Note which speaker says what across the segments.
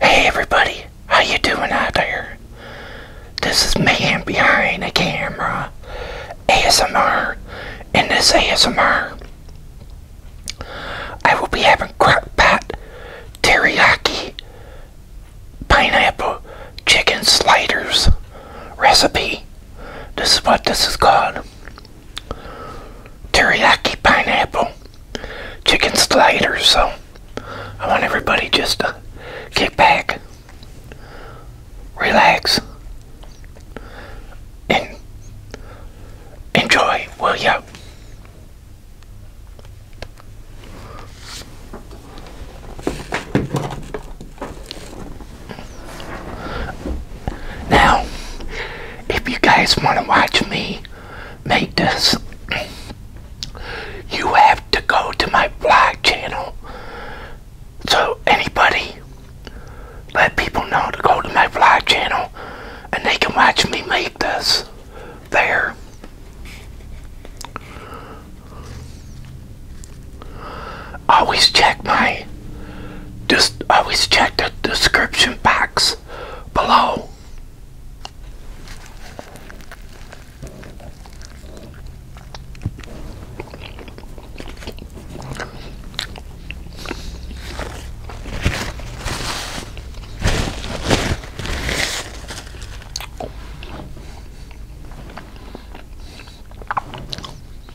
Speaker 1: Hey everybody, how you doing out there? This is man behind the camera, ASMR, and this ASMR. I will be having crock pot teriyaki pineapple chicken sliders recipe. This is what this is called teriyaki pineapple chicken sliders. So I want everybody just to kick back, relax, and enjoy. Will ya? Now, if you guys want to watch me make this, you have to go to my blog channel. So anybody, let people know to go to my vlog channel and they can watch me make this there. Always check my just always check the description box below.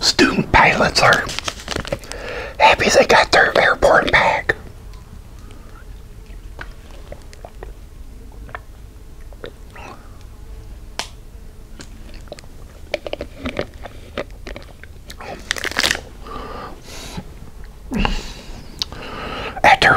Speaker 1: Student pilots are happy they got their airport back. After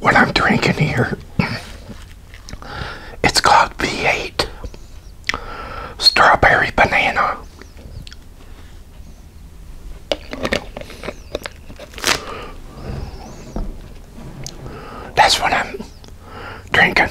Speaker 1: What I'm drinking here, it's called V8 Strawberry Banana. That's what I'm drinking.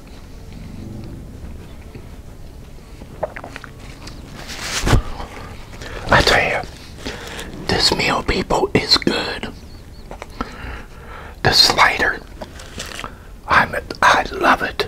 Speaker 1: I tell you, this meal, people, is good. The slider, I'm I love it.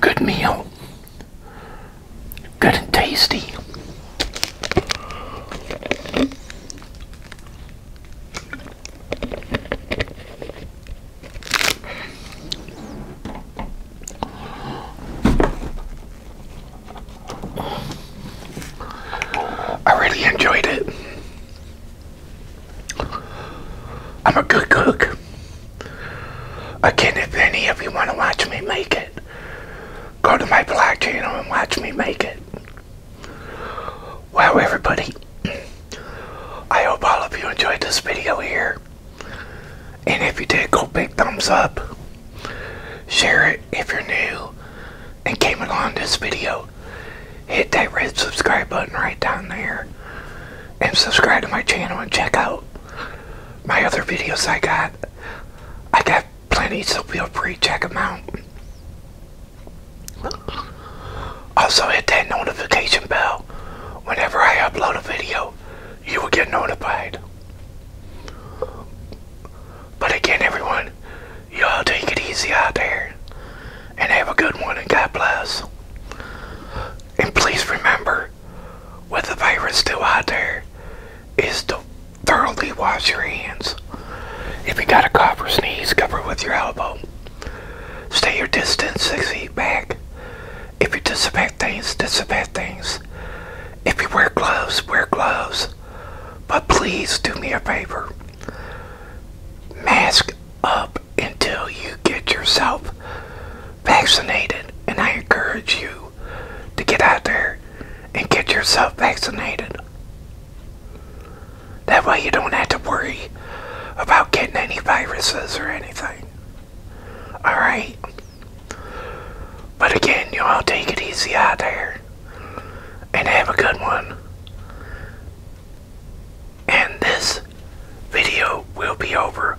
Speaker 1: Good meal. Good and tasty. I really enjoyed it. I'm a good cook. Again, if any of you want to watch me make it, go to my blog channel and watch me make it. Wow, everybody. I hope all of you enjoyed this video here. And if you did, go big thumbs up. Share it if you're new and came along this video. Hit that red subscribe button right down there. And subscribe to my channel and check out my other videos I got. I got plenty, so feel free to check them out. Also hit that notification bell. Whenever I upload a video, you will get notified. But again, everyone, y'all take it easy out there. And have a good one, and God bless. And please remember, with the virus still out there, is to thoroughly wash your hands. If you got a cough or sneeze, cover with your elbow. Stay your distance, six feet back. If you disinfect things, disinfect things. If you wear gloves, wear gloves. But please do me a favor. Mask up until you get yourself vaccinated. And I encourage you to get out there and get yourself vaccinated. That way you don't have to worry about getting any viruses or anything. Alright? But again, you all take it easy out there. And have a good one. And this video will be over.